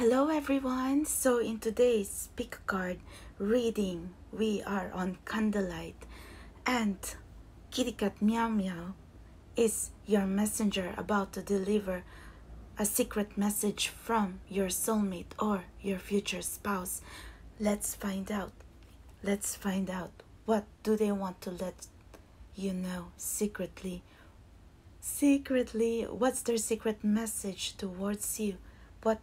Hello everyone! So in today's pick card reading, we are on Candlelight and Kitty Cat Meow Meow is your messenger about to deliver a secret message from your soulmate or your future spouse. Let's find out. Let's find out what do they want to let you know secretly secretly. what's their secret message towards you? What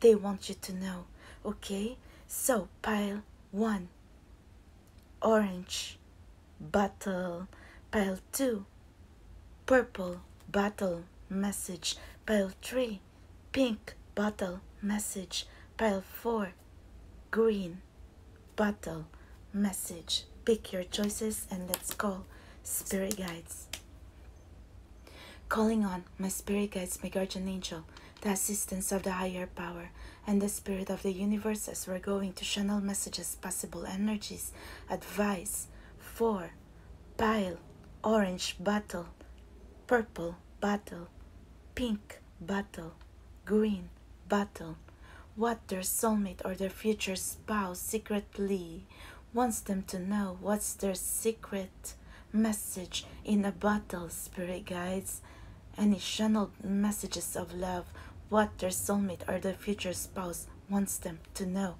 they want you to know. Okay, so pile one orange bottle. pile two purple bottle message, pile three pink bottle message, pile four green bottle message. Pick your choices and let's go, spirit guides. Calling on my spirit guides, my guardian angel, the assistance of the higher power, and the spirit of the universe as we're going to channel messages, possible energies, advice, four, pile, orange battle, purple battle, pink battle, green battle what their soulmate or their future spouse secretly wants them to know. What's their secret message in a bottle, spirit guides? Any channeled messages of love, what their soulmate or their future spouse wants them to know.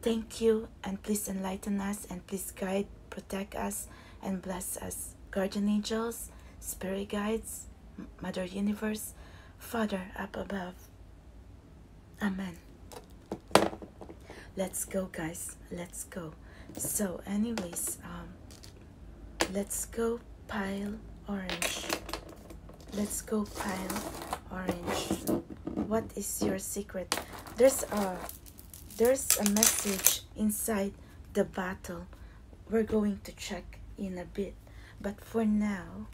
Thank you, and please enlighten us, and please guide, protect us, and bless us. Guardian angels, spirit guides, Mother Universe, Father up above. Amen. Let's go, guys. Let's go. So, anyways, um, let's go pile orange. Let's go pile orange. What is your secret? There's a there's a message inside the bottle. We're going to check in a bit, but for now,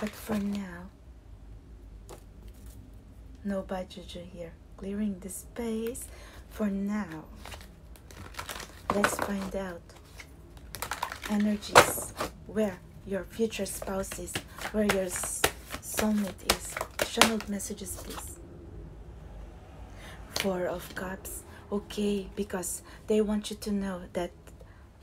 but for now, no bad juju here. Clearing the space for now. Let's find out energies where your future spouse is, where your soulmate is. Channeled messages, please. Four of Cups. Okay, because they want you to know that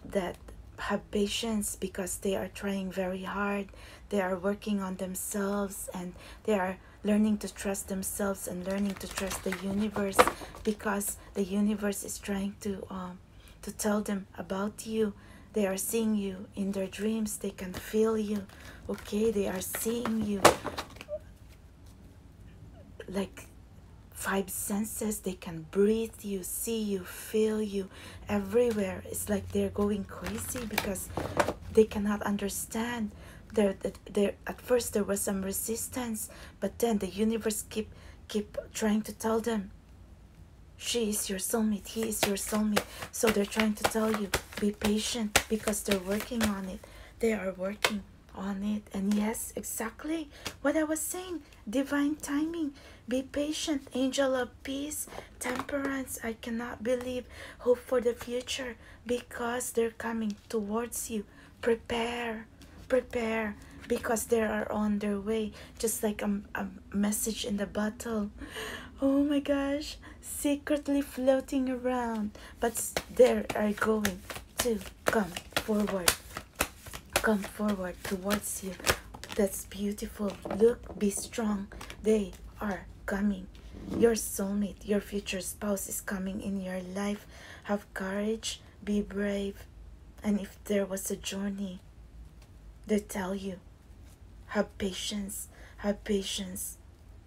that have patience because they are trying very hard they are working on themselves and they are learning to trust themselves and learning to trust the universe because the universe is trying to um, to tell them about you they are seeing you in their dreams they can feel you okay they are seeing you like five senses they can breathe you see you feel you everywhere it's like they're going crazy because they cannot understand there there at first there was some resistance but then the universe keep keep trying to tell them she is your soulmate he is your soulmate so they're trying to tell you be patient because they're working on it they are working on it. And yes, exactly what I was saying divine timing. Be patient, angel of peace, temperance. I cannot believe. Hope for the future because they're coming towards you. Prepare, prepare because they are on their way, just like a, a message in the bottle. Oh my gosh, secretly floating around, but they are going to come forward come forward towards you that's beautiful look be strong they are coming your soulmate your future spouse is coming in your life have courage be brave and if there was a journey they tell you have patience have patience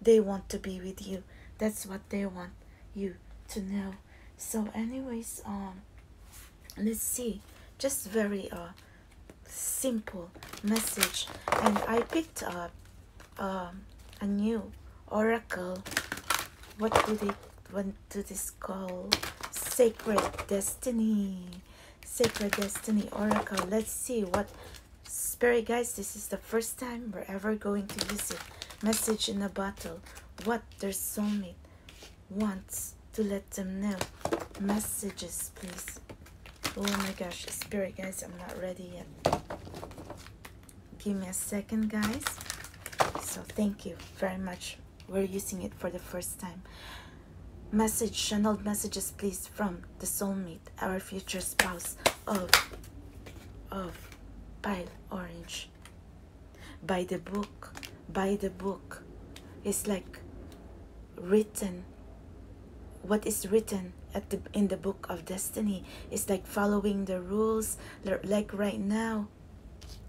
they want to be with you that's what they want you to know so anyways um let's see just very uh simple message and i picked up um a new oracle what do they what do this call sacred destiny sacred destiny oracle let's see what spirit guys this is the first time we're ever going to use it message in a bottle what their soulmate want to let them know. Messages, please. Oh my gosh, spirit guys, I'm not ready yet. Give me a second, guys. So thank you very much. We're using it for the first time. Message, channeled messages, please, from the soulmate, our future spouse of, of pale Orange by the book by the book it's like written what is written at the in the book of destiny is like following the rules like right now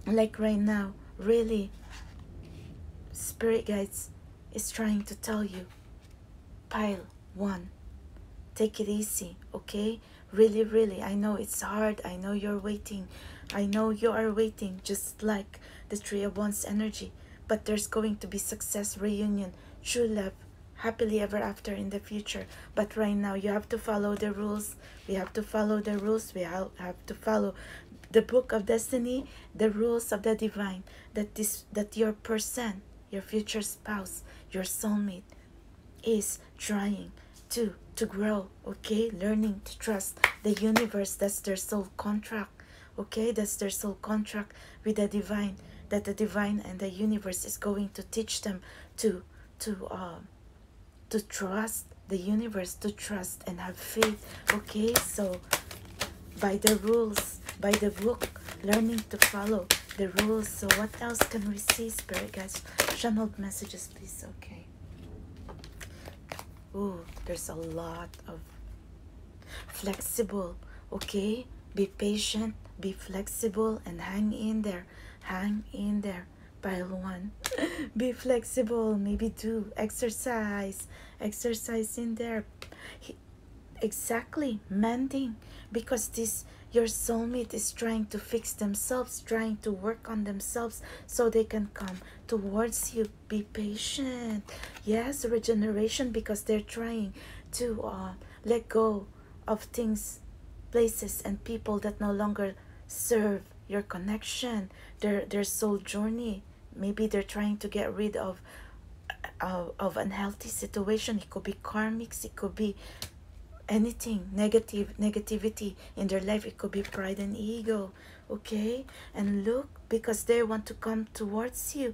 like right now really spirit guides is trying to tell you pile one take it easy okay really, really, I know it's hard. I know you're waiting. I know you are waiting, just like the Three of Wands energy. But there's going to be success, reunion, true love, happily ever after in the future. But right now, you have to follow the rules. We have to follow the rules. We all have to follow the book of destiny, the rules of the divine. That this, that your person, your future spouse, your soulmate, is trying to to grow okay learning to trust the universe that's their soul contract okay that's their soul contract with the divine that the divine and the universe is going to teach them to to um to trust the universe to trust and have faith okay so by the rules by the book learning to follow the rules so what else can we see spirit guys channeled messages please okay Ooh, there's a lot of flexible, okay? Be patient, be flexible, and hang in there. Hang in there. Pile one. be flexible, maybe two. Exercise, exercise in there. exactly, mending. Because this your soulmate is trying to fix themselves, trying to work on themselves, so they can come towards you be patient yes regeneration because they're trying to uh, let go of things places and people that no longer serve your connection their their soul journey maybe they're trying to get rid of uh, of unhealthy situation it could be karmics it could be anything negative negativity in their life it could be pride and ego okay and look because they want to come towards you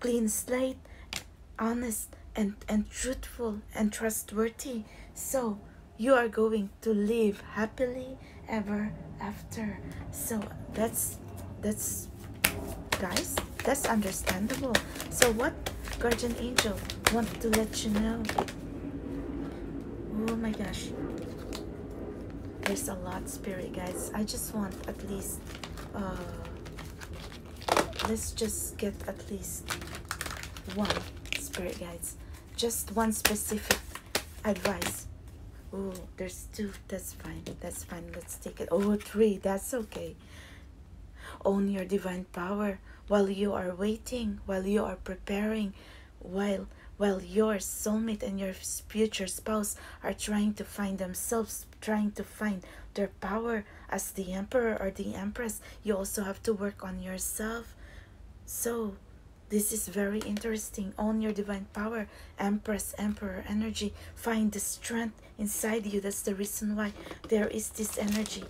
clean slate honest and and truthful and trustworthy so you are going to live happily ever after so that's that's guys that's understandable so what guardian angel want to let you know oh my gosh there's a lot spirit guys i just want at least uh, let's just get at least one spirit guides just one specific advice oh there's two that's fine that's fine let's take it oh three that's okay own your divine power while you are waiting, while you are preparing, while while your soulmate and your future spouse are trying to find themselves, trying to find their power as the emperor or the empress, you also have to work on yourself. So, this is very interesting. On your divine power, empress, emperor energy. Find the strength inside you. That's the reason why there is this energy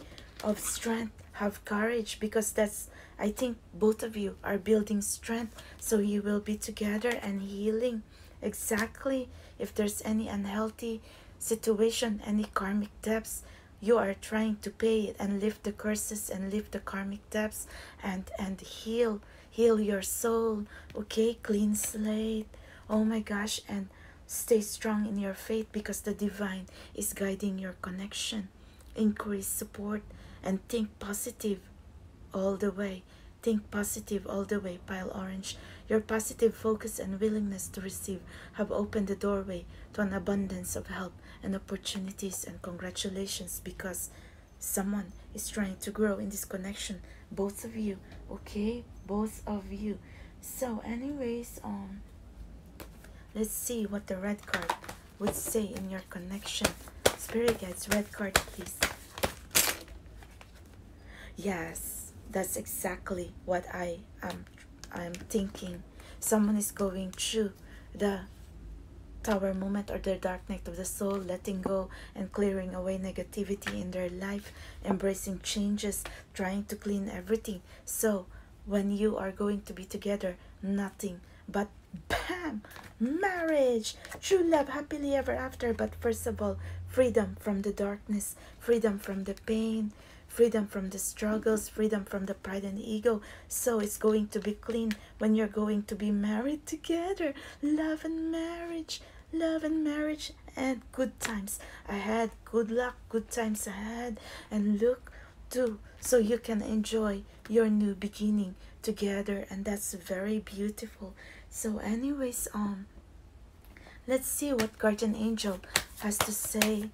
of strength. Have courage because that's I think both of you are building strength so you will be together and healing exactly if there's any unhealthy situation, any karmic debts. You are trying to pay it and lift the curses and lift the karmic debts and, and heal, heal your soul. Okay, clean slate. Oh my gosh, and stay strong in your faith because the divine is guiding your connection increase support and think positive all the way think positive all the way pile orange your positive focus and willingness to receive have opened the doorway to an abundance of help and opportunities and congratulations because someone is trying to grow in this connection both of you okay both of you so anyways um Let's see what the red card would say in your connection. Spirit guides, red card, please. Yes, that's exactly what I am I'm thinking. Someone is going through the tower moment or the dark night of the soul, letting go and clearing away negativity in their life, embracing changes, trying to clean everything. So when you are going to be together nothing but bam marriage true love happily ever after but first of all freedom from the darkness freedom from the pain freedom from the struggles freedom from the pride and ego so it's going to be clean when you're going to be married together love and marriage love and marriage and good times ahead good luck good times ahead and look to so you can enjoy your new beginning together and that's very beautiful so anyways um let's see what guardian angel has to say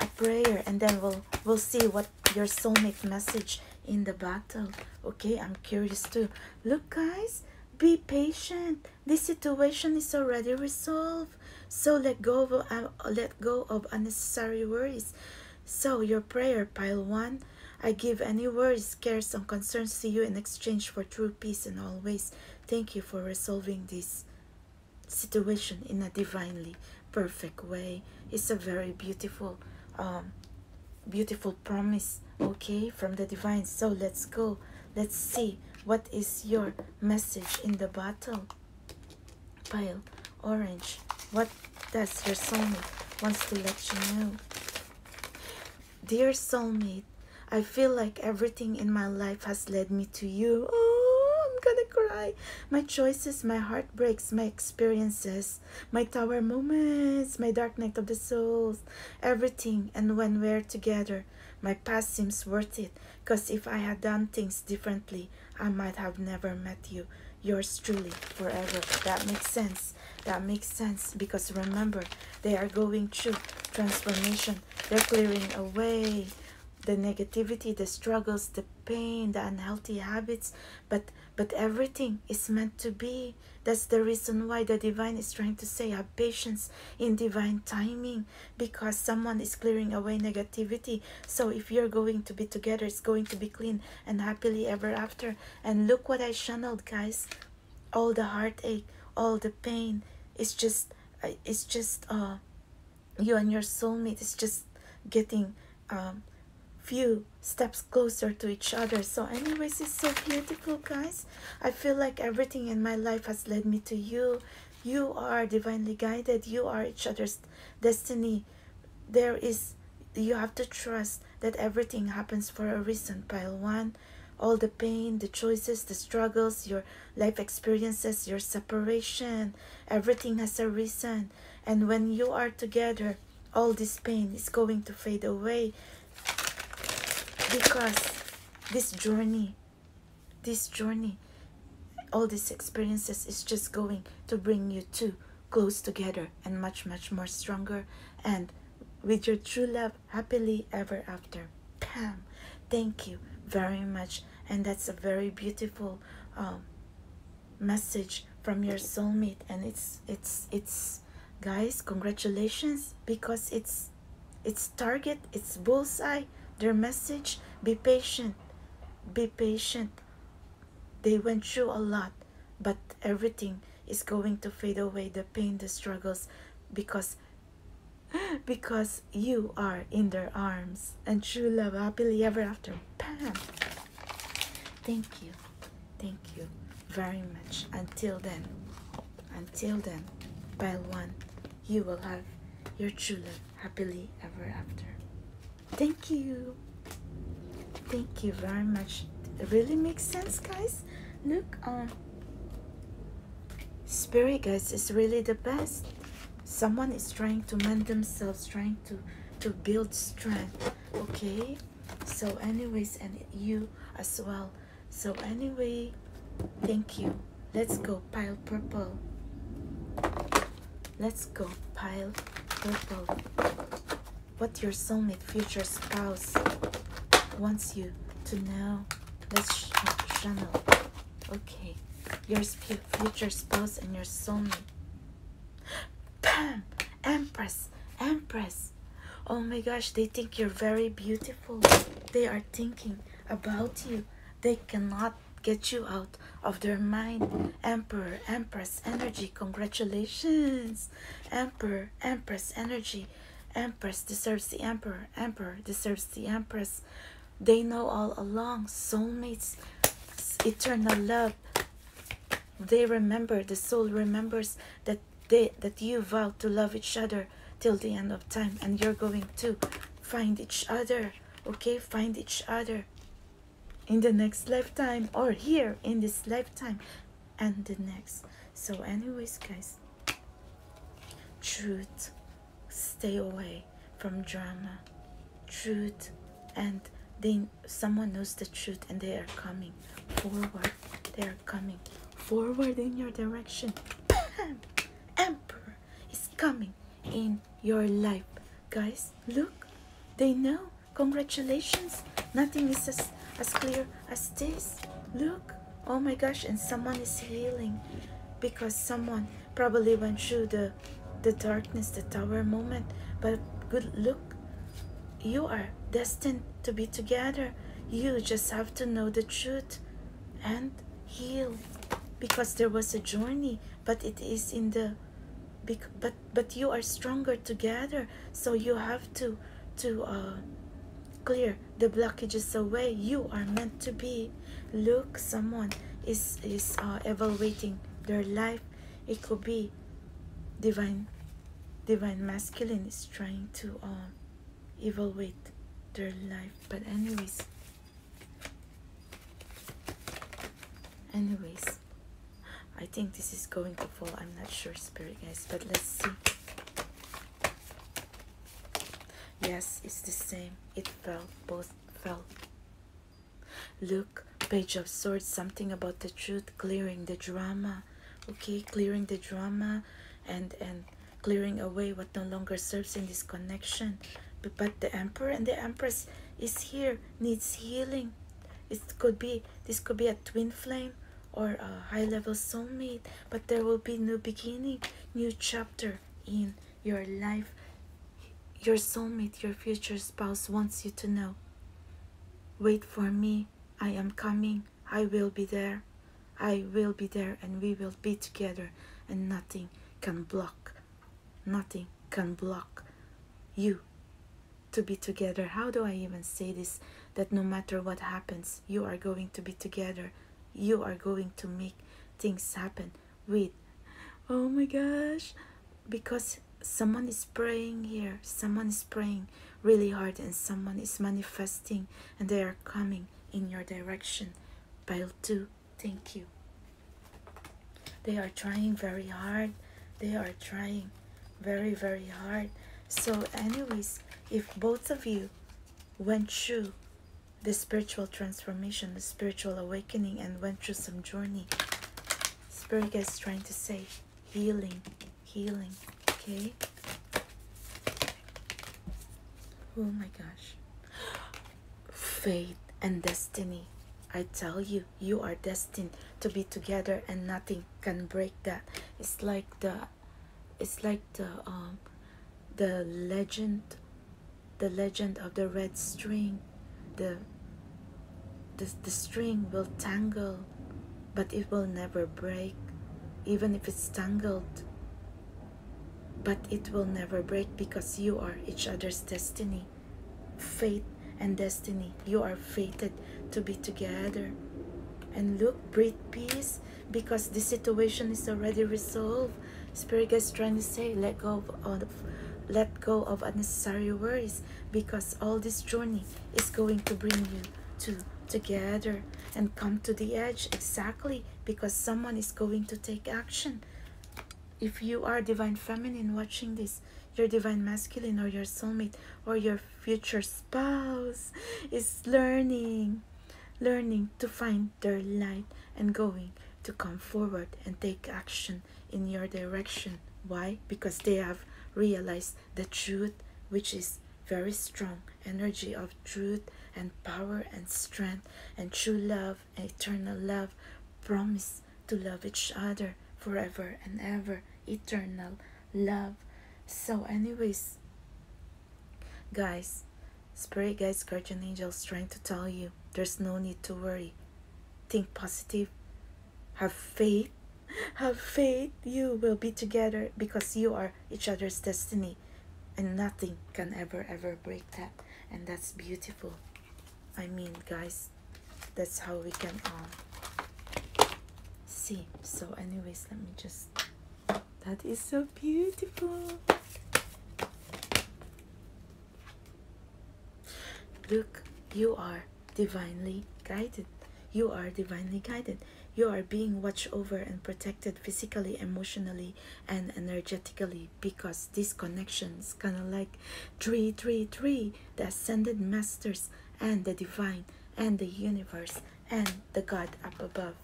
a prayer and then we'll we'll see what your soulmate message in the battle okay i'm curious too look guys be patient this situation is already resolved so let go of uh, let go of unnecessary worries. So your prayer pile one. I give any worries, cares, and concerns to you in exchange for true peace and always. Thank you for resolving this situation in a divinely perfect way. It's a very beautiful, um, beautiful promise, okay, from the divine. So let's go. Let's see what is your message in the bottle. Pale, orange, what does your soulmate wants to let you know? Dear soulmate, I feel like everything in my life has led me to you. Oh, I'm gonna cry. My choices, my heartbreaks, my experiences, my tower moments, my dark night of the souls, everything. And when we're together, my past seems worth it because if I had done things differently, I might have never met you. Yours truly, forever. That makes sense. That makes sense because remember, they are going through transformation. They're clearing away the negativity, the struggles, the pain, the unhealthy habits, but but everything is meant to be. That's the reason why the divine is trying to say have patience in divine timing because someone is clearing away negativity. So if you're going to be together, it's going to be clean and happily ever after. And look what I channeled, guys. All the heartache, all the pain. It's just, uh, it's just uh, you and your soulmate. It's just getting um, few steps closer to each other so anyways it's so beautiful guys i feel like everything in my life has led me to you you are divinely guided you are each other's destiny there is you have to trust that everything happens for a reason pile one all the pain the choices the struggles your life experiences your separation everything has a reason and when you are together all this pain is going to fade away because this journey this journey, all these experiences is just going to bring you two close together and much, much more stronger and with your true love happily ever after. Pam, thank you very much. And that's a very beautiful um, message from your soulmate. And it's, it's, it's, guys, congratulations because it's, it's target, it's bullseye, their message, be patient, be patient. They went through a lot, but everything is going to fade away the pain, the struggles, because because you are in their arms and true love happily ever after. Bam! Thank you. Thank you very much. Until then, until then, by one, you will have your true love happily ever after. Thank you. Thank you very much. It really makes sense, guys. Look, um, spirit, guys, is really the best. Someone is trying to mend themselves, trying to to build strength. Okay. So, anyways, and you as well. So, anyway, thank you. Let's go pile purple. Let's go, pile purple. What your soulmate future spouse wants you to know. Let's sh uh, channel. Okay, your future spouse and your soulmate. Bam! Empress! Empress! Oh my gosh, they think you're very beautiful. They are thinking about you. They cannot get you out of their mind. Emperor, Empress energy, congratulations. Emperor, Empress energy, Empress deserves the Emperor, Emperor deserves the Empress. They know all along, soulmates, eternal love. They remember, the soul remembers that they that you vowed to love each other till the end of time and you're going to find each other okay find each other in the next lifetime or here in this lifetime and the next so anyways guys truth stay away from drama truth and then someone knows the truth and they are coming forward they are coming forward in your direction emperor is coming in your life. Guys, look, they know. Congratulations. Nothing is as, as clear as this. Look, oh my gosh, and someone is healing because someone probably went through the, the darkness, the tower moment. But good look, you are destined to be together. You just have to know the truth and heal because there was a journey but it is in the big. but but you are stronger together so you have to to uh, clear the blockages away you are meant to be look someone is is uh, evaluating their life it could be divine divine masculine is trying to uh, evaluate their life but anyways Anyways, I think this is going to fall. I'm not sure, spirit guys, but let's see. Yes, it's the same. It fell. Both fell. Look, Page of Swords, something about the truth, clearing the drama. Okay, clearing the drama and and clearing away what no longer serves in this connection but the emperor and the empress is here needs healing it could be this could be a twin flame or a high level soulmate but there will be new beginning new chapter in your life your soulmate your future spouse wants you to know wait for me i am coming i will be there i will be there and we will be together and nothing can block nothing can block you to be together. How do I even say this? That no matter what happens, you are going to be together. You are going to make things happen with, oh my gosh, because someone is praying here, someone is praying really hard, and someone is manifesting, and they are coming in your direction. Pile two Thank you. They are trying very hard. They are trying very, very hard. So anyways, if both of you went through the spiritual transformation, the spiritual awakening, and went through some journey, Spirit is trying to say healing, healing, okay? Oh my gosh fate, and destiny. I tell you, you are destined to be together, and nothing can break that. It's like the, it's like the um, the legend, the legend of the red string, the. The, the string will tangle, but it will never break, even if it's tangled. But it will never break because you are each other's destiny fate and destiny. You are fated to be together. And look, breathe peace because this situation is already resolved. Spirit guides trying to say, let go of let go of unnecessary worries because all this journey is going to bring you to together and come to the edge exactly because someone is going to take action if you are divine feminine watching this your divine masculine or your soulmate or your future spouse is learning learning to find their light and going to come forward and take action in your direction why because they have realized the truth which is very strong energy of truth and power and strength and true love eternal love, promise to love each other forever and ever, eternal love. So, anyways, guys, spirit guys, guardian angels trying to tell you there's no need to worry. Think positive, have faith, have faith you will be together because you are each other's destiny and nothing can ever ever break that and that's beautiful I mean guys that's how we can um, see so anyways let me just that is so beautiful look you are divinely guided you are divinely guided you are being watched over and protected physically emotionally and energetically because these connections kind of like three three three the ascended masters and the divine and the universe and the god up above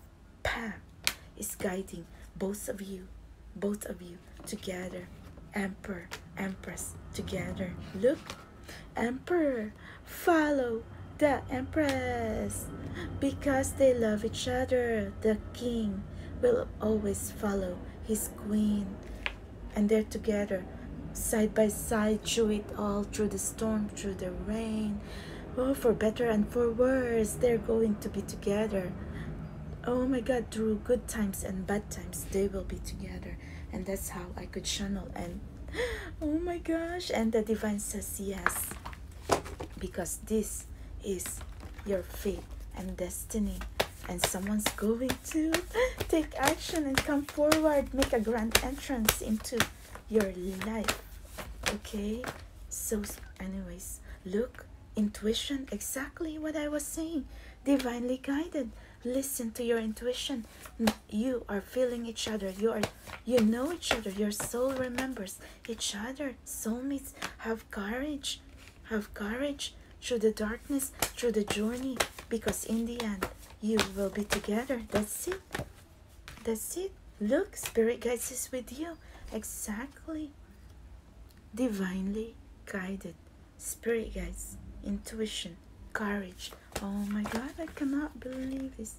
pam is guiding both of you both of you together emperor empress together look emperor follow the empress because they love each other the king will always follow his queen, and they're together, side by side, through it all, through the storm, through the rain. Oh, for better and for worse, they're going to be together. Oh my God, through good times and bad times, they will be together. And that's how I could channel. And oh my gosh, and the divine says yes, because this is your fate and destiny and someone's going to take action and come forward make a grand entrance into your life okay so anyways look intuition exactly what i was saying divinely guided listen to your intuition you are feeling each other you are you know each other your soul remembers each other soulmates have courage have courage through the darkness, through the journey, because in the end, you will be together. That's it. That's it. Look, Spirit Guides is with you. Exactly. Divinely guided. Spirit Guides, intuition, courage. Oh my God, I cannot believe this.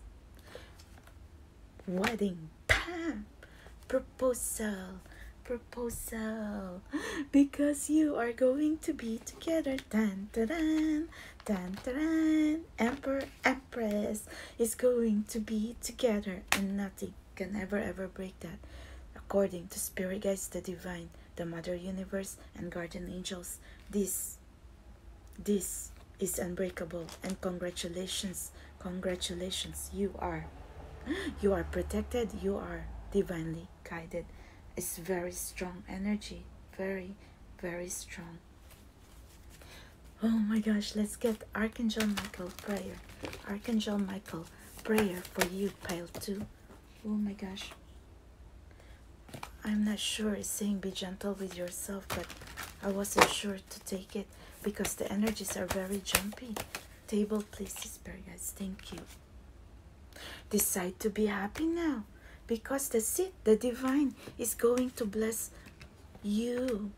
Wedding. Bam! proposal proposal because you are going to be together Dan, dan, dan, dan. dun emperor empress is going to be together and nothing can ever ever break that according to spirit guides the divine the mother universe and guardian angels this this is unbreakable and congratulations congratulations you are You are protected, you are divinely guided. It's very strong energy, very, very strong. Oh my gosh, let's get Archangel Michael prayer. Archangel Michael prayer for you, pile 2. Oh my gosh. I'm not sure it's saying be gentle with yourself, but I wasn't sure to take it because the energies are very jumpy. Table, please, spare guys. Thank you. Decide to be happy now because the it. The divine is going to bless you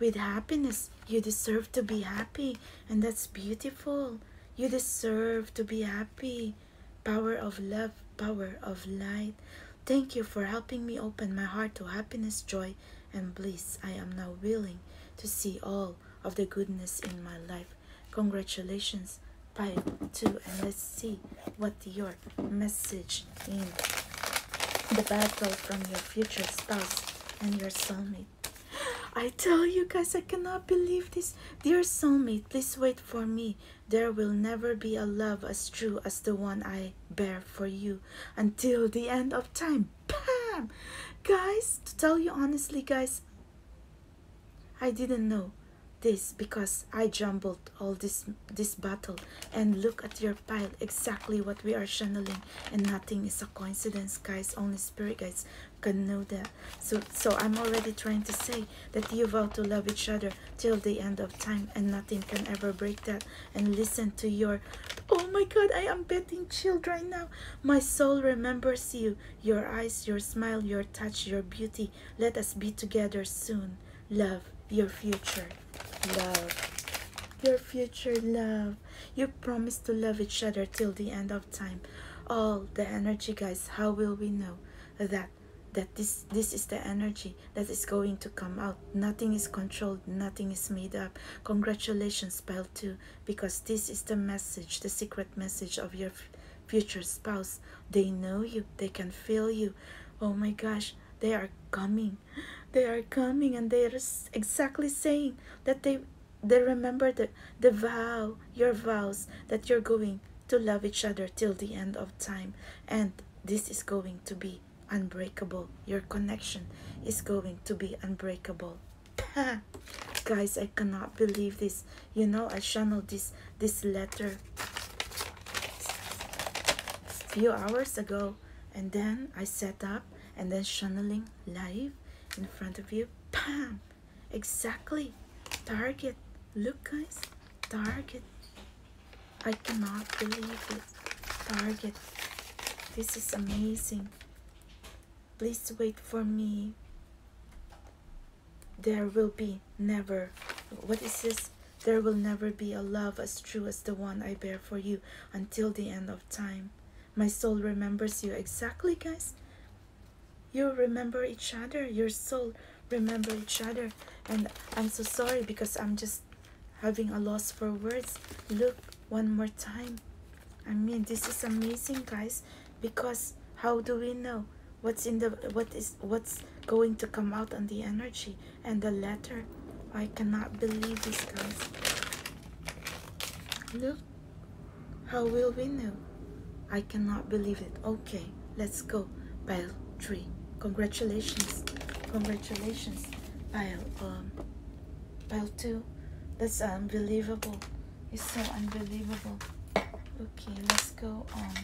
with happiness. You deserve to be happy, and that's beautiful. You deserve to be happy. Power of love, power of light. Thank you for helping me open my heart to happiness, joy, and bliss. I am now willing to see all of the goodness in my life. Congratulations, Pile 2, and let's see what your message in the battle from your future spouse and your soulmate. I tell you guys, I cannot believe this. Dear soulmate, please wait for me. There will never be a love as true as the one I bear for you until the end of time guys to tell you honestly guys i didn't know this because i jumbled all this this battle and look at your pile exactly what we are channeling and nothing is a coincidence guys only spirit guys can know that so so i'm already trying to say that you vow to love each other till the end of time and nothing can ever break that and listen to your oh my god i am betting chilled right now my soul remembers you, your eyes, your smile, your touch, your beauty. Let us be together soon. Love, your future. Love your future love. You promise to love each other till the end of time. All the energy, guys, how will we know that that this this is the energy that is going to come out. Nothing is controlled, nothing is made up. Congratulations, pile 2 because this is the message, the secret message of your future spouse. They know you, they can feel you. Oh my gosh, they are coming. They are coming and they are exactly saying that they they remember the, the vow, your vows that you're going to love each other till the end of time. And this is going to be unbreakable. Your connection is going to be unbreakable. guys i cannot believe this you know i channel this this letter few hours ago and then i set up and then channeling live in front of you bam exactly target look guys target i cannot believe it target this is amazing Please wait for me. There will be never. What is this? There will never be a love as true as the one I bear for you until the end of time. My soul remembers you exactly, guys. You remember each other. Your soul remember each other. And I'm so sorry because I'm just having a loss for words. Look, one more time i mean this is amazing guys because how do we know what's in the what is what's going to come out on the energy and the letter i cannot believe this guys look how will we know i cannot believe it okay let's go pile three congratulations congratulations pile um pile two that's unbelievable it's so unbelievable. Okay, let's go on.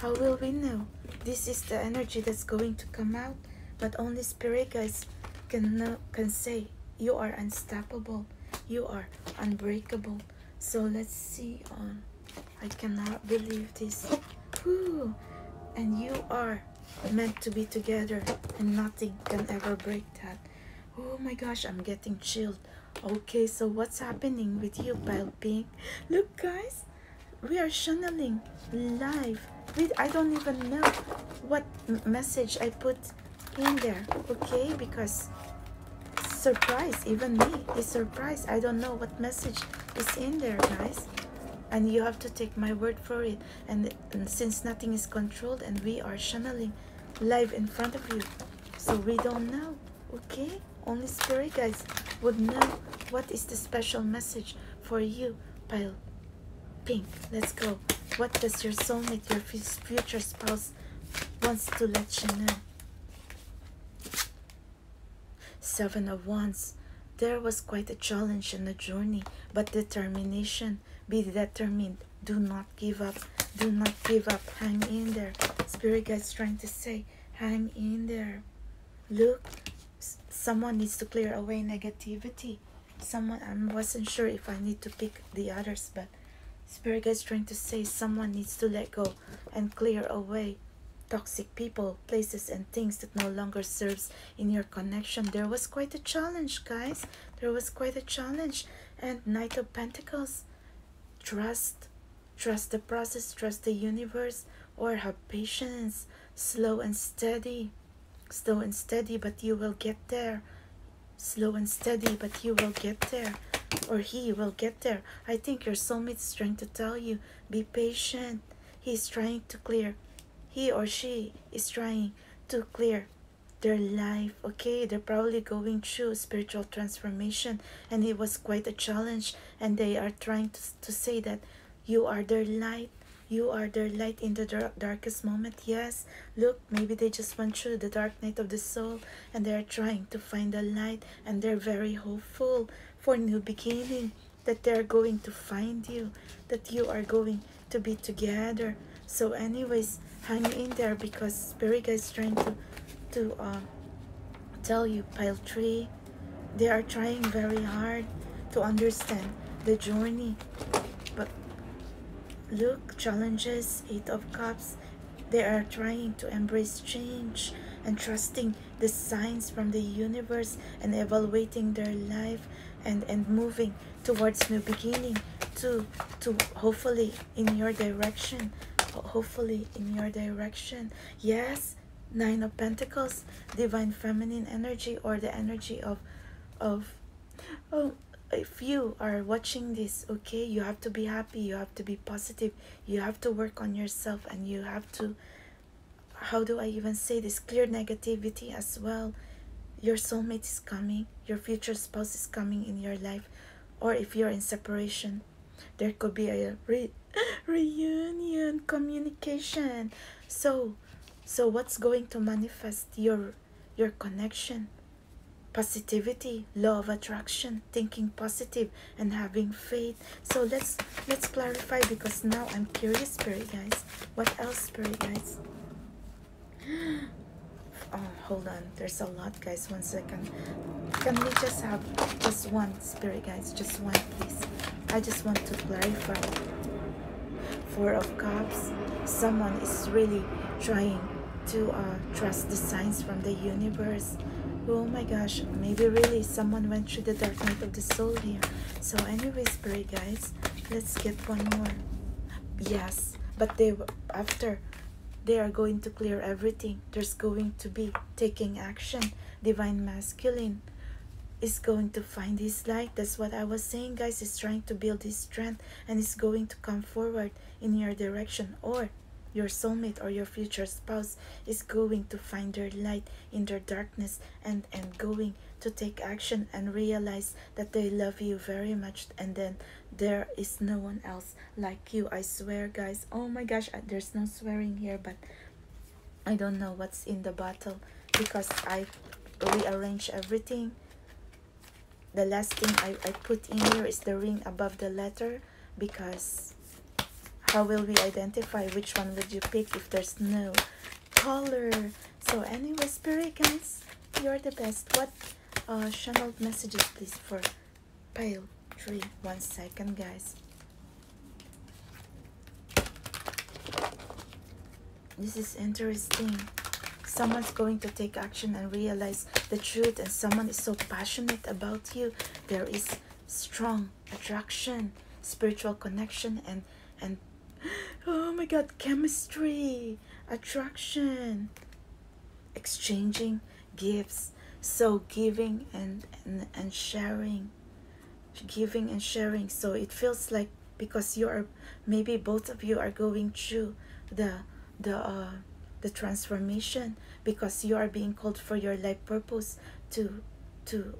How will we know? This is the energy that's going to come out, but only spirit guys can know, can say you are unstoppable, you are unbreakable. So let's see on. I cannot believe this. And you are meant to be together and nothing can ever break that oh my gosh i'm getting chilled okay so what's happening with you pale pink look guys we are channeling live with i don't even know what message i put in there okay because surprise even me is surprised i don't know what message is in there guys and you have to take my word for it and and, since nothing is controlled and we are channeling live in front of you so we don't know okay only spirit guys would know what is the special message for you pile pink let's go what does your soulmate your future spouse wants to let you know seven of wands there was quite a challenge and a journey but determination be determined. Do not give up. Do not give up. Hang in there. Spirit guides trying to say, hang in there. Look, someone needs to clear away negativity. Someone, I wasn't sure if I need to pick the others, but Spirit guides trying to say someone needs to let go and clear away toxic people, places, and things that no longer serves in your connection. There was quite a challenge, guys. There was quite a challenge. And Knight of Pentacles, trust, trust the process, trust the universe, or have patience, slow and steady, slow and steady, but you will get there. Slow and steady, but you will get there or he will get there. I think your soulmate is trying to tell you, be patient. He is trying to clear. He or she is trying to clear their life okay they're probably going through spiritual transformation and it was quite a challenge and they are trying to, to say that you are their light you are their light in the dark, darkest moment yes look maybe they just went through the dark night of the soul and they are trying to find the light and they're very hopeful for new beginning that they're going to find you that you are going to be together. So anyways, hang in there because Spirit Guide is trying to, to uh, tell you, pile three, they are trying very hard to understand the journey. But look, challenges, Eight of Cups, they are trying to embrace change and trusting the signs from the universe and evaluating their life and, and moving towards new beginning to to hopefully in your direction hopefully in your direction yes nine of pentacles divine feminine energy or the energy of of oh if you are watching this okay you have to be happy you have to be positive you have to work on yourself and you have to how do i even say this clear negativity as well your soulmate is coming your future spouse is coming in your life or if you're in separation there could be a re- reunion communication so so what's going to manifest your your connection positivity law of attraction thinking positive and having faith so let's let's clarify because now i'm curious spirit guys what else spirit guys oh, hold on there's a lot guys one second can we just have just one spirit guys just one please i just want to clarify four of cups someone is really trying to uh, trust the signs from the universe oh my gosh maybe really someone went through the dark night of the soul here so anyway spirit guys let's get one more yes but they after they are going to clear everything there's going to be taking action divine masculine is going to find his light that's what i was saying guys is trying to build his strength and is going to come forward in your direction or your soulmate or your future spouse is going to find their light in their darkness and and going to take action and realize that they love you very much and then there is no one else like you i swear guys oh my gosh there's no swearing here but i don't know what's in the bottle because i rearrange everything the last thing I, I put in here is the ring above the letter because how will we identify which one would you pick if there's no color. So anyway, spirit guys, you're the best. What uh, channeled messages please for pale tree? One second, guys. This is interesting. Someone's going to take action and realize the truth, and someone is so passionate about you. There is strong attraction, spiritual connection, and and oh my god, chemistry, attraction, exchanging gifts, so giving and, and, and sharing, giving and sharing. So it feels like because you are maybe both of you are going through the the uh, the transformation because you are being called for your life purpose to to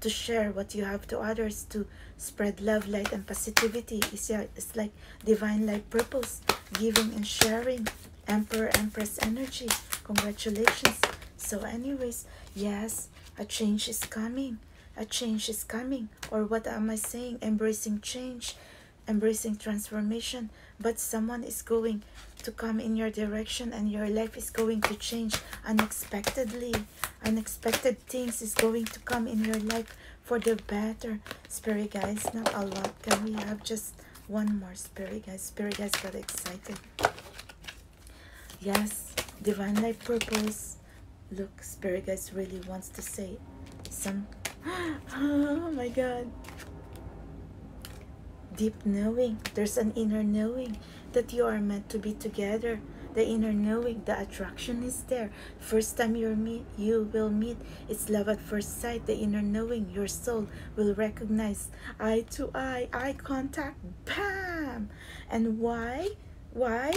to share what you have to others to Spread love, light, and positivity. It's, it's like divine light purpose, giving and sharing. Emperor, Empress energy. Congratulations. So, anyways, yes, a change is coming. A change is coming. Or what am I saying? Embracing change, embracing transformation. But someone is going to come in your direction and your life is going to change unexpectedly. Unexpected things is going to come in your life for the better spirit guys not a lot can we have just one more spirit guys spirit guys got excited yes divine life purpose look spirit guys really wants to say some oh my god deep knowing there's an inner knowing that you are meant to be together the inner knowing the attraction is there First time you meet, you will meet, it's love at first sight, the inner knowing, your soul will recognize eye to eye, eye contact, bam! And why? Why?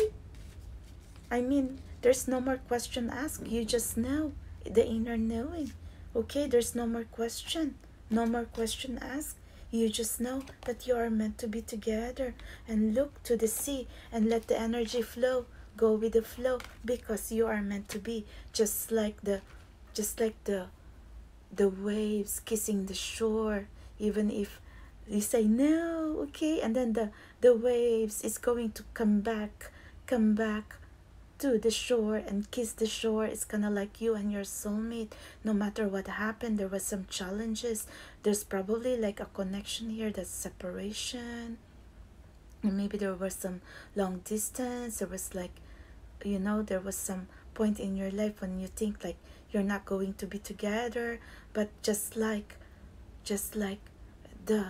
I mean, there's no more question asked, you just know, the inner knowing. Okay, there's no more question, no more question asked. You just know that you are meant to be together and look to the sea and let the energy flow. Go with the flow because you are meant to be just like the just like the the waves kissing the shore even if you say no okay and then the the waves is going to come back come back to the shore and kiss the shore it's kind of like you and your soulmate no matter what happened there was some challenges there's probably like a connection here that's separation maybe there was some long distance there was like you know there was some point in your life when you think like you're not going to be together but just like just like the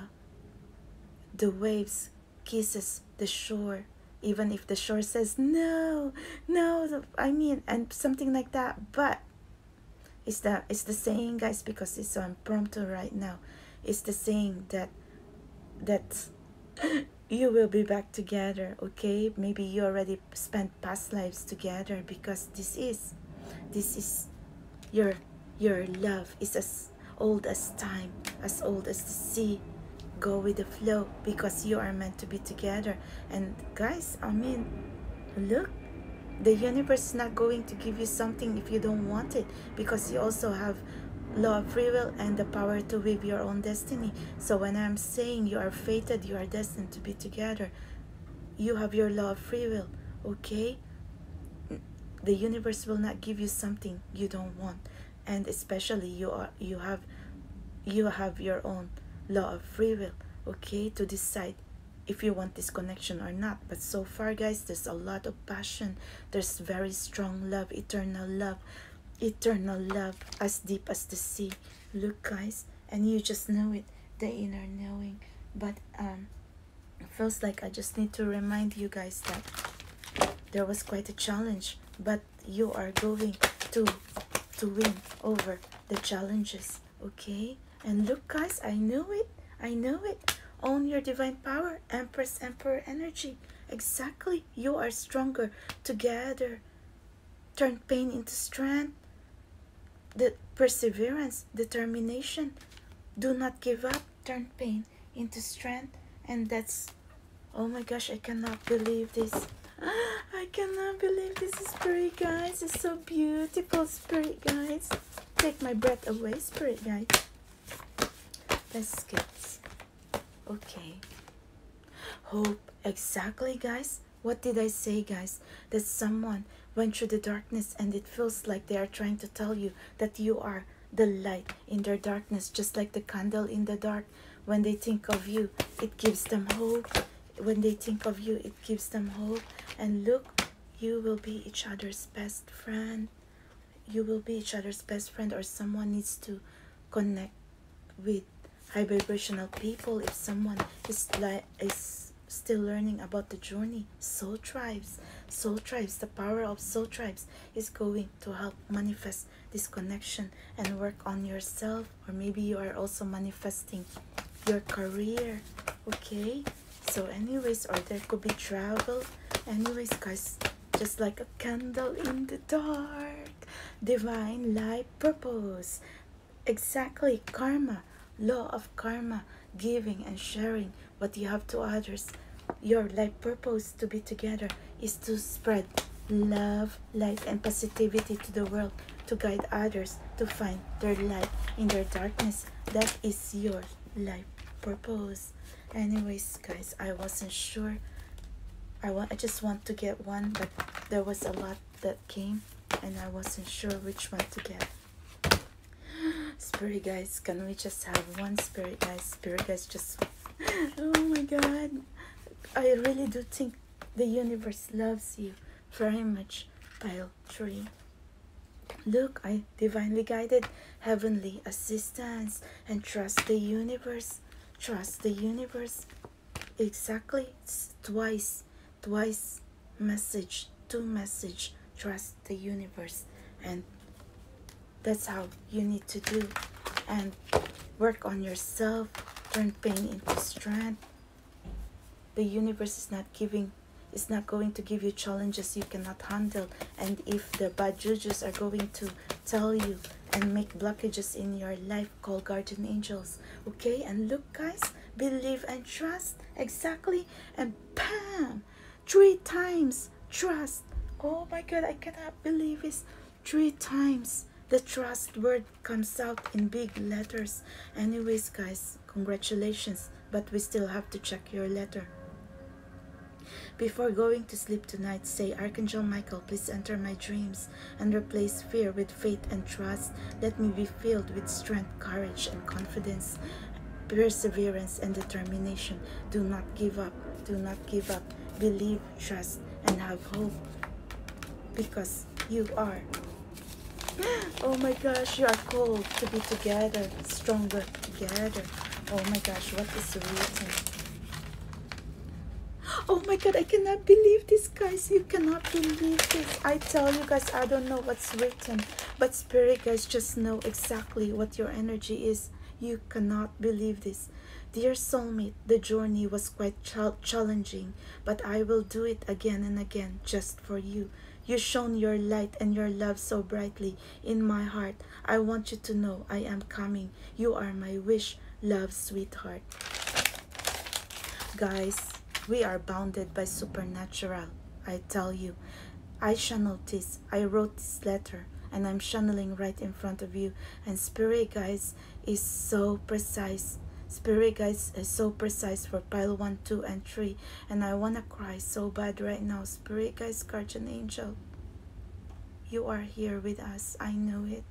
the waves kisses the shore even if the shore says no no i mean and something like that but it's the, it's the saying, guys, because it's so impromptu right now. It's the saying that that you will be back together, okay? Maybe you already spent past lives together because this is this is your your love is as old as time, as old as the sea. Go with the flow because you are meant to be together. And guys, I mean, look, the universe is not going to give you something if you don't want it because you also have law of free will and the power to live your own destiny so when i'm saying you are fated you are destined to be together you have your law of free will okay the universe will not give you something you don't want and especially you are you have you have your own law of free will okay to decide if you want this connection or not but so far guys there's a lot of passion there's very strong love eternal love eternal love as deep as the sea look guys and you just know it the inner knowing but um it feels like i just need to remind you guys that there was quite a challenge but you are going to to win over the challenges okay and look guys i knew it i know it own your divine power empress emperor energy exactly you are stronger together turn pain into strength the perseverance determination do not give up turn pain into strength and that's oh my gosh i cannot believe this I cannot believe this is spirit guys it's so beautiful spirit guys Take my breath away, spirit guys. Let's get okay. Hope exactly guys. What did I say guys? That someone went through the darkness and it feels like they are trying to tell you that you are the light in their darkness, just like the candle in the dark. When they think of you, it gives them hope. When they think of you, it gives them hope. And look, you will be each other's best friend you will be each other's best friend or someone needs to connect with high vibrational people if someone is like is still learning about the journey soul tribes soul tribes the power of soul tribes is going to help manifest this connection and work on yourself or maybe you are also manifesting your career okay so anyways or there could be travel anyways guys just like a candle in the dark divine light purpose exactly karma law of karma giving and sharing what you have to others your life purpose to be together is to spread love light and positivity to the world to guide others to find their light in their darkness that is your life purpose anyways guys i wasn't sure i want i just want to get one but there was a lot that came and i wasn't sure which one to get spirit guys can we just have one spirit guys spirit guys just oh my god i really do think the universe loves you very much pile 3 Look, I divinely guided heavenly assistance and trust the universe. Trust the universe. Exactly twice, twice message, two message. Trust the universe, and that's how you need to do. And work on yourself. Turn pain into strength. The universe is not giving it's not going to give you challenges you cannot handle and if the bad judges are going to tell you and make blockages in your life call guardian angels okay and look guys believe and trust exactly and bam three times trust oh my god i cannot believe this three times the trust word comes out in big letters anyways guys congratulations, but we still have to check your letter. Before going to sleep tonight, say, Archangel Michael, please enter my dreams and replace fear with faith and trust. Let me be filled with strength, courage, and confidence, perseverance, and determination. Do not give up. Do not give up. Believe, trust, and have hope because you are oh my gosh, you are called to be together, stronger together. Oh my gosh, what is the reason? Oh my god, I cannot believe this, guys. You cannot believe this. I tell you guys, I don't know what's written, but spirit guys just know exactly what your energy is. You cannot believe this. Dear soulmate, the journey was quite challenging, but I will do it again and again just for you. You shone your light and your love so brightly in my heart. I want you to know I am coming. You are my wish, love, sweetheart. Guys, we are bounded by supernatural. I tell you, I shall notice. I wrote this letter and I'm channeling right in front of you. And Spirit Guys is so precise. Spirit Guys is so precise for pile 1, 2, and 3. And I want to cry so bad right now. Spirit guys, guardian angel. You are here with us. I know it.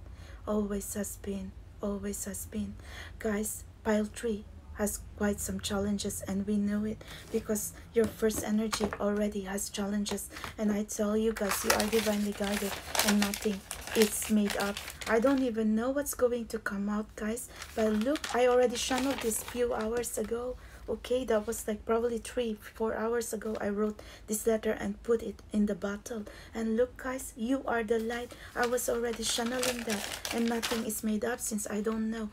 Always has been. Always has been. Guys, pile 3 has quite some challenges and we know it because your first energy already has challenges and I tell you guys you are divinely guided and nothing it's made up I don't even know what's going to come out guys but look i already channeled this few hours ago okay that was like probably three four hours ago i wrote this letter and put it in the bottle and look guys you are the light i was already channeling that and nothing is made up since i don't know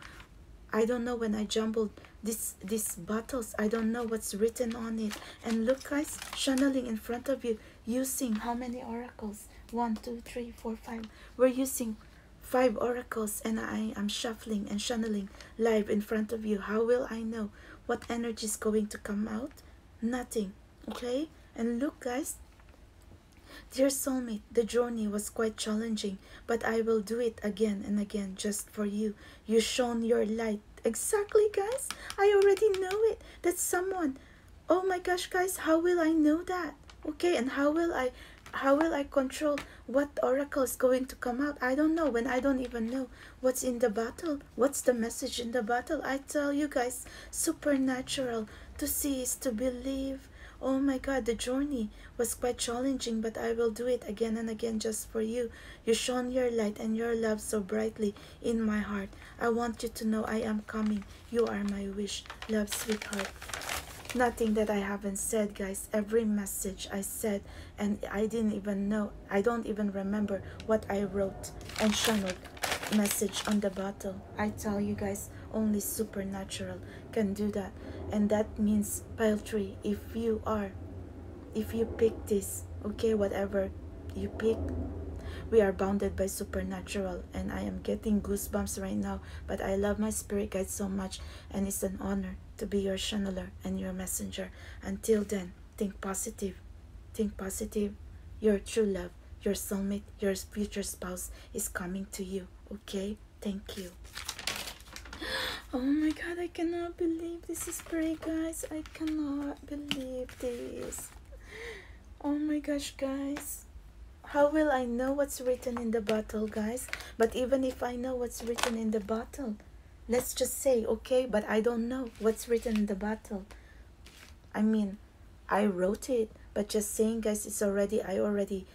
i don't know when i jumbled this this bottles i don't know what's written on it and look guys channeling in front of you using how many oracles one two three four five we're using Five oracles, and I am shuffling and channeling live in front of you. How will I know what energy is going to come out? Nothing. Okay? And look, guys. Dear soulmate, the journey was quite challenging, but I will do it again and again just for you. You shone your light. Exactly, guys. I already know it. That someone. Oh my gosh, guys, how will I know that? okay and how will i how will i control what oracle is going to come out i don't know when i don't even know what's in the bottle what's the message in the bottle i tell you guys supernatural to see is to believe oh my god the journey was quite challenging but i will do it again and again just for you you shone your light and your love so brightly in my heart i want you to know i am coming you are my wish, love, sweetheart. Nothing that I haven't said, guys. Every message I said, and I didn't even know. I don't even remember what I wrote and channeled message on the bottle. I tell you guys, only supernatural can do that. And that means paltry if you are, if you pick this, okay, whatever you pick, we are bounded by supernatural. And I am getting goosebumps right now but I love my spirit guide so much, and it's an honor to be your channeler and your messenger. Until then, think positive. Think positive. Your true love, your soulmate, your future spouse is coming to you. Okay? Thank you. Oh my god, I cannot believe this is pretty, guys. I cannot believe this. Oh my gosh, guys how will I know what's written in the bottle, guys? But even if I know what's written in the bottle, let's just say, okay, but I don't know what's written in the bottle. I mean, I wrote it, but just saying, guys, it's already, I already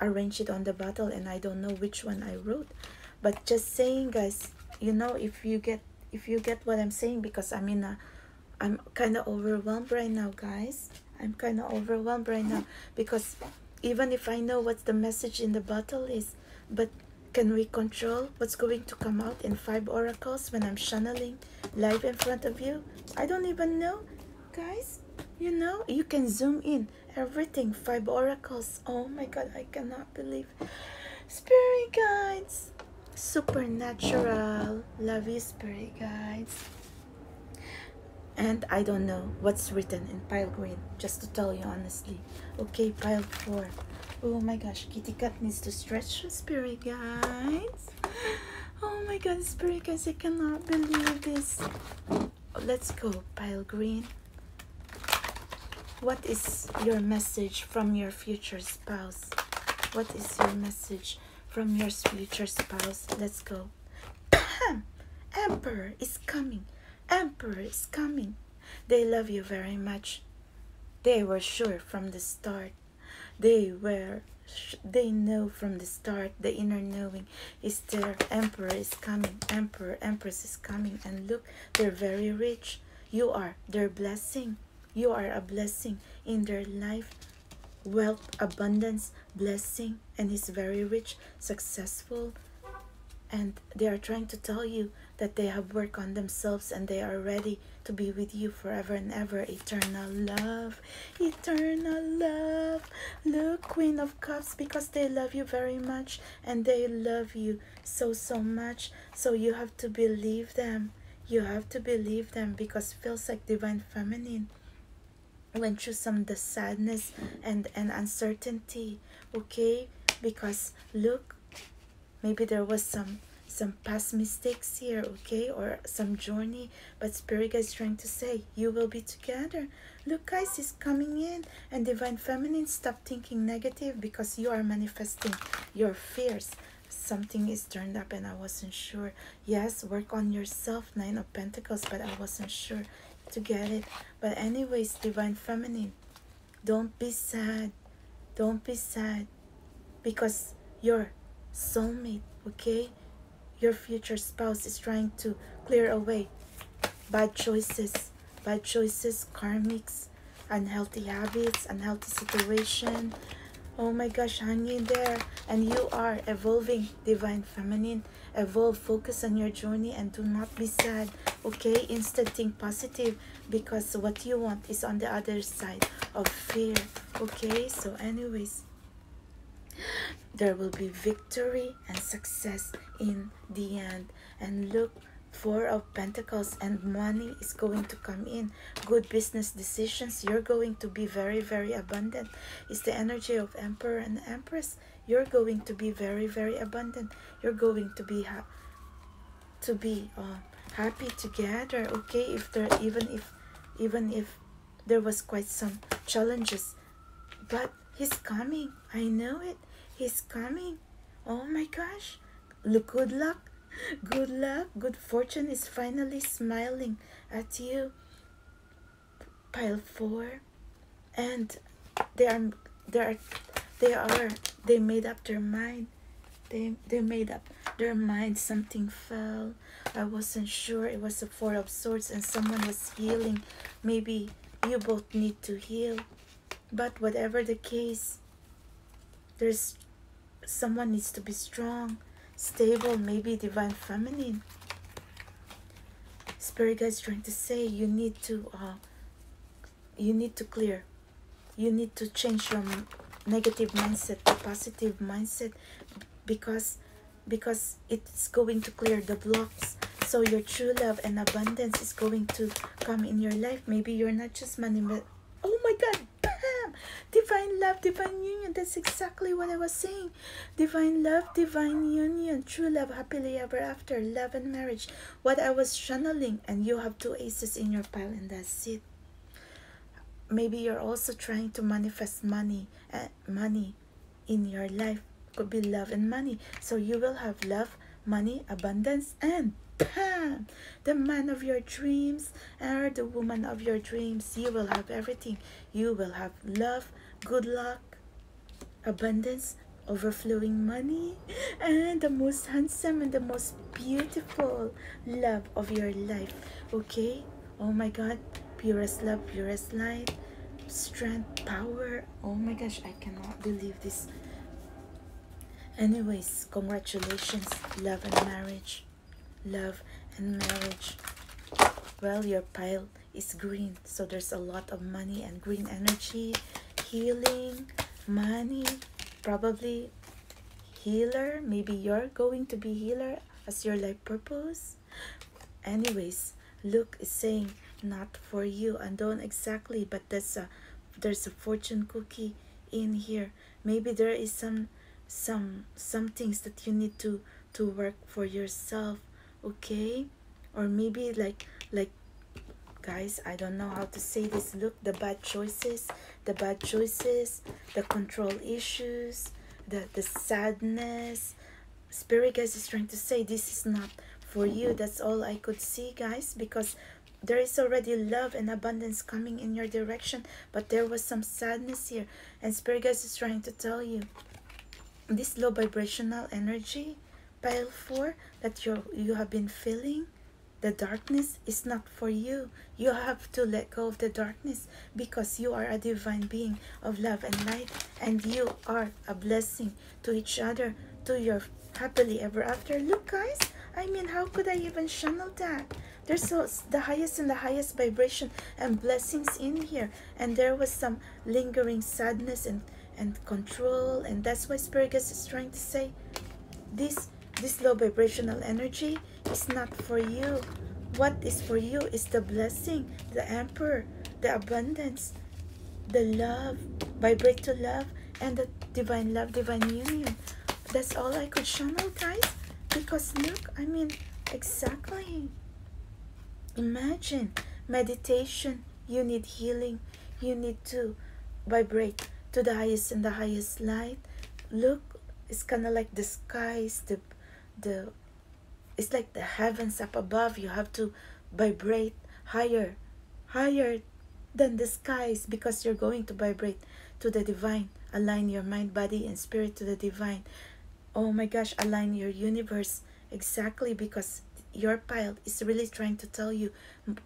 arranged it on the bottle and I don't know which one I wrote. But just saying, guys, you know, if you get, if you get what I'm saying, because i mean in a, I'm kind of overwhelmed right now, guys. I'm kind of overwhelmed right now because even if I know what the message in the bottle is, but can we control what's going to come out in five oracles when I'm channeling live in front of you? I don't even know, guys. You know, you can zoom in everything, five oracles. Oh my god, I cannot believe. Spirit guides, supernatural. Love you, spirit guides and I don't know what's written in pile green, just to tell you honestly. Okay, pile four. Oh my gosh, Kitty Cat needs to stretch spirit guides. Oh my god, spirit guides, I cannot believe this. Let's go, pile green. What is your message from your future spouse? What is your message from your future spouse? Let's go. Emperor is coming! Emperor is coming! They love you very much. They were sure from the start. They were, they know from the start, the inner knowing is there. Emperor is coming, Emperor, Empress is coming. And look, they're very rich. You are their blessing. You are a blessing in their life wealth, abundance, blessing, and he's very rich, successful. And they are trying to tell you that they have work on themselves and they are ready to be with you forever and ever. Eternal love, eternal love. Look, Queen of Cups, because they love you very much and they love you so, so much. So you have to believe them. You have to believe them because feels like divine feminine went through some the sadness and and uncertainty okay because look maybe there was some some past mistakes here okay or some journey but spirit guys trying to say you will be together look guys is coming in and divine feminine stop thinking negative because you are manifesting your fears something is turned up and i wasn't sure Yes, work on yourself, Nine of Pentacles, but I wasn't sure to get it. But, anyways, Divine Feminine, don't be sad. Don't be sad because your soulmate, okay? Your future spouse is trying to clear away bad choices, bad choices, karmics, unhealthy habits, unhealthy situation. Oh my gosh, hang in there. And you are evolving, Divine Feminine evolve. Focus on your journey and do not be sad, okay? Instead, think positive because what you want is on the other side of fear, okay? So, anyways, there will be victory and success in the end. And look, for of Pentacles and money is going to come in. Good business decisions. You're going to be very, very abundant. It's the energy of Emperor and Empress. You're going to be very, very abundant. You're going to be to be uh, happy together. Okay, if there even if even if there was quite some challenges, but he's coming. I know it. He's coming. Oh my gosh! Look, good luck, good luck, good fortune is finally smiling at you pile 4 and they are they are they are they made up their mind they they made up their mind something fell i wasn't sure it was a four of swords and someone was healing maybe you both need to heal but whatever the case there's someone needs to be strong stable, maybe divine feminine. Spirit guides trying to say you need to uh, you need to clear. You need to change your negative mindset to positive mindset because because it's going to clear the blocks so your true love and abundance is going to come in your life maybe you're not just money, but oh my god bam divine love divine union that's exactly what i was saying Divine love, divine union, true love, happily ever after, love and marriage. What I was channeling, and you have two aces in your pile, and that's it. Maybe you're also trying to manifest money, uh, money in your life. Could be love and money. So you will have love, money, abundance, and bam, the man of your dreams or the woman of your dreams. You will have everything. You will have love, good luck, abundance, overflowing money, and the most handsome and the most beautiful love of your life. Okay? Oh my God, purest love, purest life, strength, power. Oh my gosh, I cannot believe this. Anyways, congratulations, love and marriage. Love and marriage. Well, your pile it's green so there's a lot of money and green energy healing money probably healer maybe you're going to be healer as your life purpose anyways luke is saying not for you and don't exactly but there's a there's a fortune cookie in here maybe there is some some some things that you need to to work for yourself okay or maybe like like guys i don't know how to say this look the bad choices the bad choices the control issues the the sadness spirit guys is trying to say this is not for you that's all i could see guys because there is already love and abundance coming in your direction but there was some sadness here and Spirigus is trying to tell you this low vibrational energy, pile 4, that you you have been feeling, the darkness is not for you. You have to let go of the darkness because you are a divine being of love and light and you are a blessing to each other, to your happily ever after. Look guys, I mean how could I even channel that? There's so, the highest and the highest vibration and blessings in here and there was some lingering sadness and and control and that's why Spirigus is trying to say this this low vibrational energy is not for you what is for you is the blessing the emperor the abundance the love vibrate to love and the divine love divine union that's all i could channel guys because look i mean exactly Imagine meditation. You need healing. You need to vibrate to the highest and the highest light. Look, it's kind of like the skies, the, the, it's like the heavens up above. You have to vibrate higher, higher than the skies because you're going to vibrate to the divine. Align your mind, body, and spirit to the divine oh my gosh align your universe exactly because your pile is really trying to tell you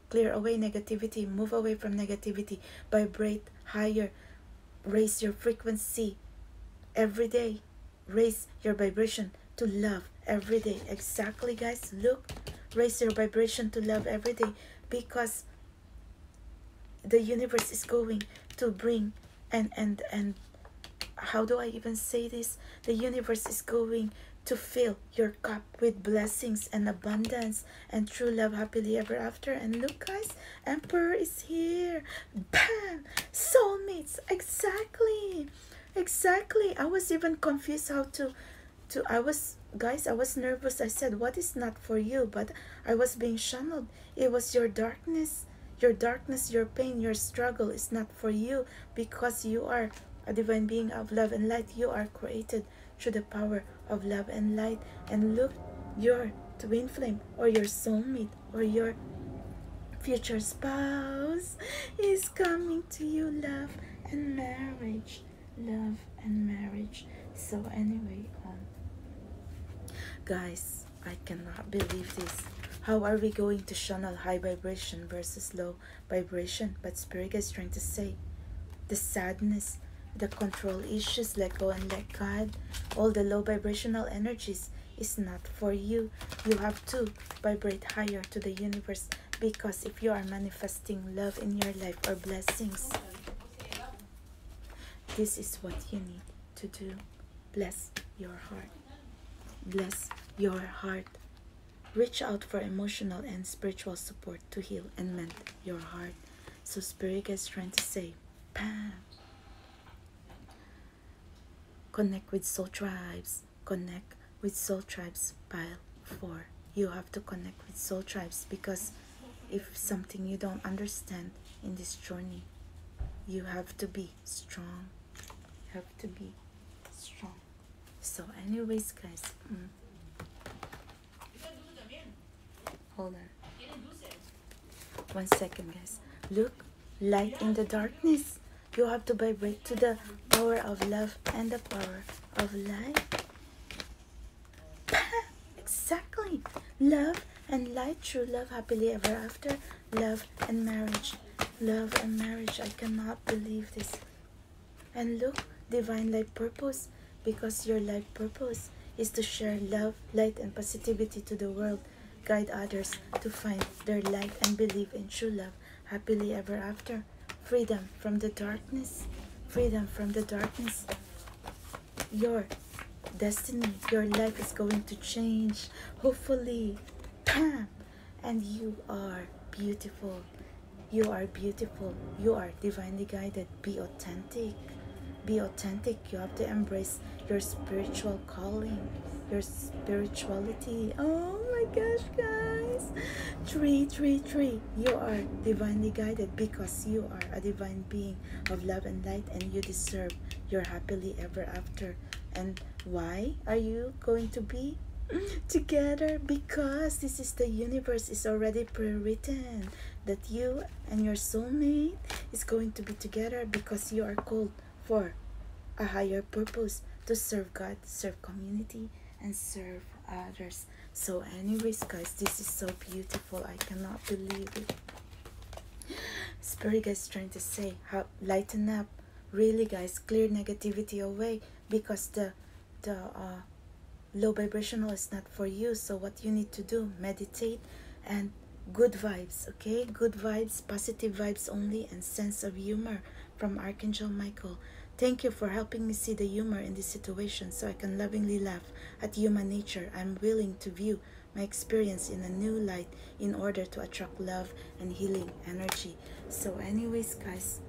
clear away negativity move away from negativity vibrate higher raise your frequency every day raise your vibration to love every day exactly guys look raise your vibration to love every day because the universe is going to bring and and and how do i even say this the universe is going to fill your cup with blessings and abundance and true love happily ever after and look guys emperor is here bam soulmates exactly exactly i was even confused how to to i was guys i was nervous i said what is not for you but i was being channeled it was your dark your darkness, your pain, your struggle is not for you because you are a divine being of love and light. You are created through the power of love and light. And look, your twin flame or your soulmate or your future spouse is coming to you love and marriage love and marriage so anyway um, guys I cannot believe this. How are we going to channel high vibration versus low vibration? But Spirit is trying to say the sadness, the control issues, let go and let God. All the low vibrational energies is not for you. You have to vibrate higher to the universe because if you are manifesting love in your life or blessings, this is what you need to do. Bless your heart. Bless your heart. Reach out for emotional and spiritual support to heal and mend your heart. So Spirit is trying to say, Pam. Connect with soul tribes. Connect with soul tribes pile 4. You have to connect with soul tribes because if something you don't understand in this journey, you have to be strong have to be strong so anyways guys mm. hold on one second guys look light in the darkness you have to vibrate to the power of love and the power of light exactly love and light true love happily ever after Love and marriage. Love and marriage. I cannot believe this. And look, divine light purpose, because your life purpose is to share love, light, and positivity to the world. Guide others to find their light and believe in true love happily ever after. Freedom from the darkness. Freedom from the darkness. Your destiny your life is going to change hopefully and you are beautiful you are beautiful you are divinely guided be authentic be authentic you have to embrace your spiritual calling your spirituality oh my gosh guys three three three you are divinely guided because you are a divine being of love and light and you deserve your happily ever after and why are you going to be together? Because this is the universe is already pre-written that you and your soulmate is going to be together because you are called for a higher purpose to serve God, serve community, and serve others. So anyways, guys, this is so beautiful. I cannot believe it. Spirit is trying to say, how lighten up really guys clear negativity away because the the uh, low vibrational is not for you so what you need to do meditate and good vibes okay good vibes positive vibes only and sense of humor from archangel michael thank you for helping me see the humor in this situation so i can lovingly laugh at human nature i'm willing to view my experience in a new light in order to attract love and healing energy. So, anyways, guys,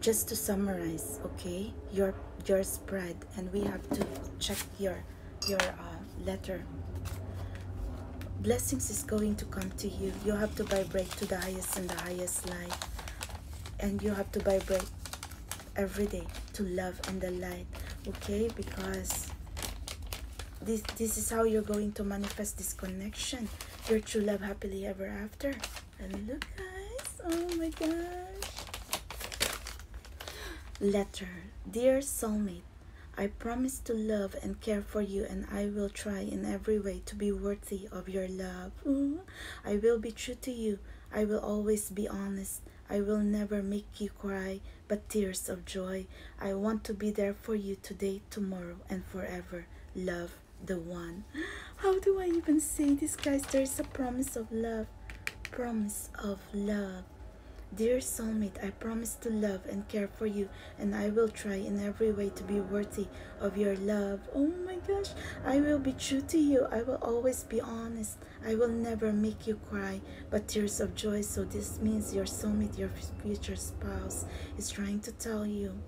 just to summarize, okay, your your spread, and we have to check your your uh, letter. Blessings is going to come to you. You have to vibrate to the highest and the highest light, and you have to vibrate every day to love and the light, okay? Because this this is how you're going to manifest this connection your true love happily ever after and look guys oh my God! letter dear soulmate i promise to love and care for you and i will try in every way to be worthy of your love mm-hmm. i will be true to you i will always be honest i will never make you cry but tears of joy. I want to be there for you today, tomorrow, and forever. Love the one. How do I even say this, guys? There is a promise of love. Promise of love. Dear soulmate, I promise to love and care for you, and I will try in every way to be worthy of your love. Oh my gosh, I will be true to you. I will always be honest. I will never make you cry but tears of joy. So this means your soulmate, your future spouse is trying to tell you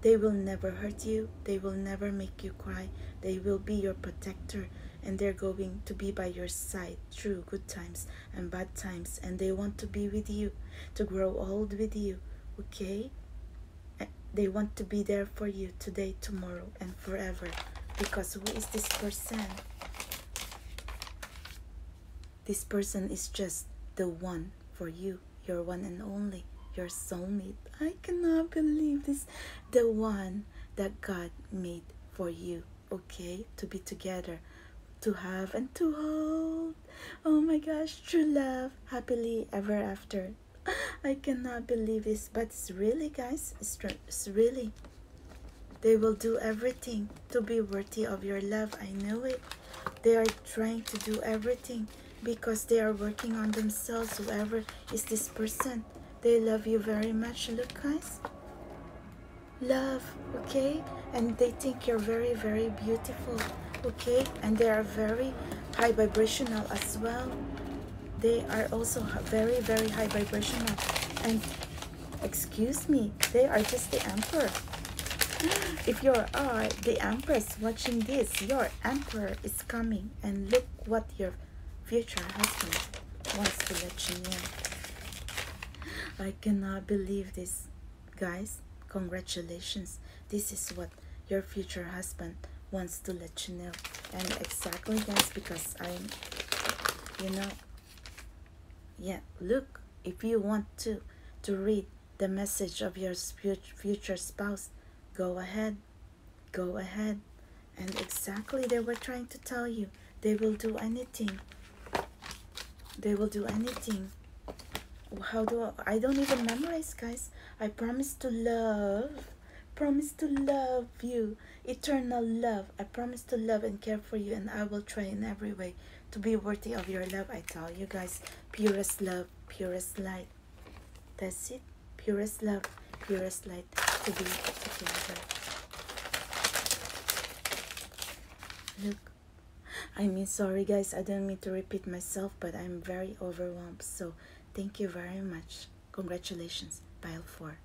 they will never hurt you. They will never make you cry. They will be your protector and they're going to be by your side through good times and bad times and they want to be with you, to grow old with you, okay? They want to be there for you today, tomorrow and forever because who is this person? This person is just the one for you, your one and only, your soulmate. I cannot believe this. The one that God made for you, okay? To be together, to have and to hold. Oh my gosh, true love, happily ever after. I cannot believe this, but it's really, guys, it's, really they will do everything to be worthy of your love. I know it. They are trying to do everything because they are working on themselves. Whoever is this person, they love you very much. Look, guys. Love, okay? And they think you're very, very beautiful, okay? And they are very high vibrational as well. They are also very, very high vibrational. And Excuse me, they are just the emperor. If you are the empress watching this, your emperor is coming and look what your future husband wants to let you know. I cannot believe this. Guys, congratulations. This is what your future husband wants to let you know. And exactly guys, because I'm, you know, yeah, look, if you want to to read the message of your future future spouse, go ahead, go ahead. And exactly they were trying to tell you, they will do anything. They will do anything. How do I, I don't even memorize, guys. I promise to love, promise to love you eternal love. I promise to love and care for you, and I will try in every way to be worthy of your love. I tell you guys, purest love, purest light. That's it. Purest love, purest light to be together. Look. I mean, sorry guys, I don't mean to repeat myself, but I'm very overwhelmed. So thank you very much. Congratulations, pile 4.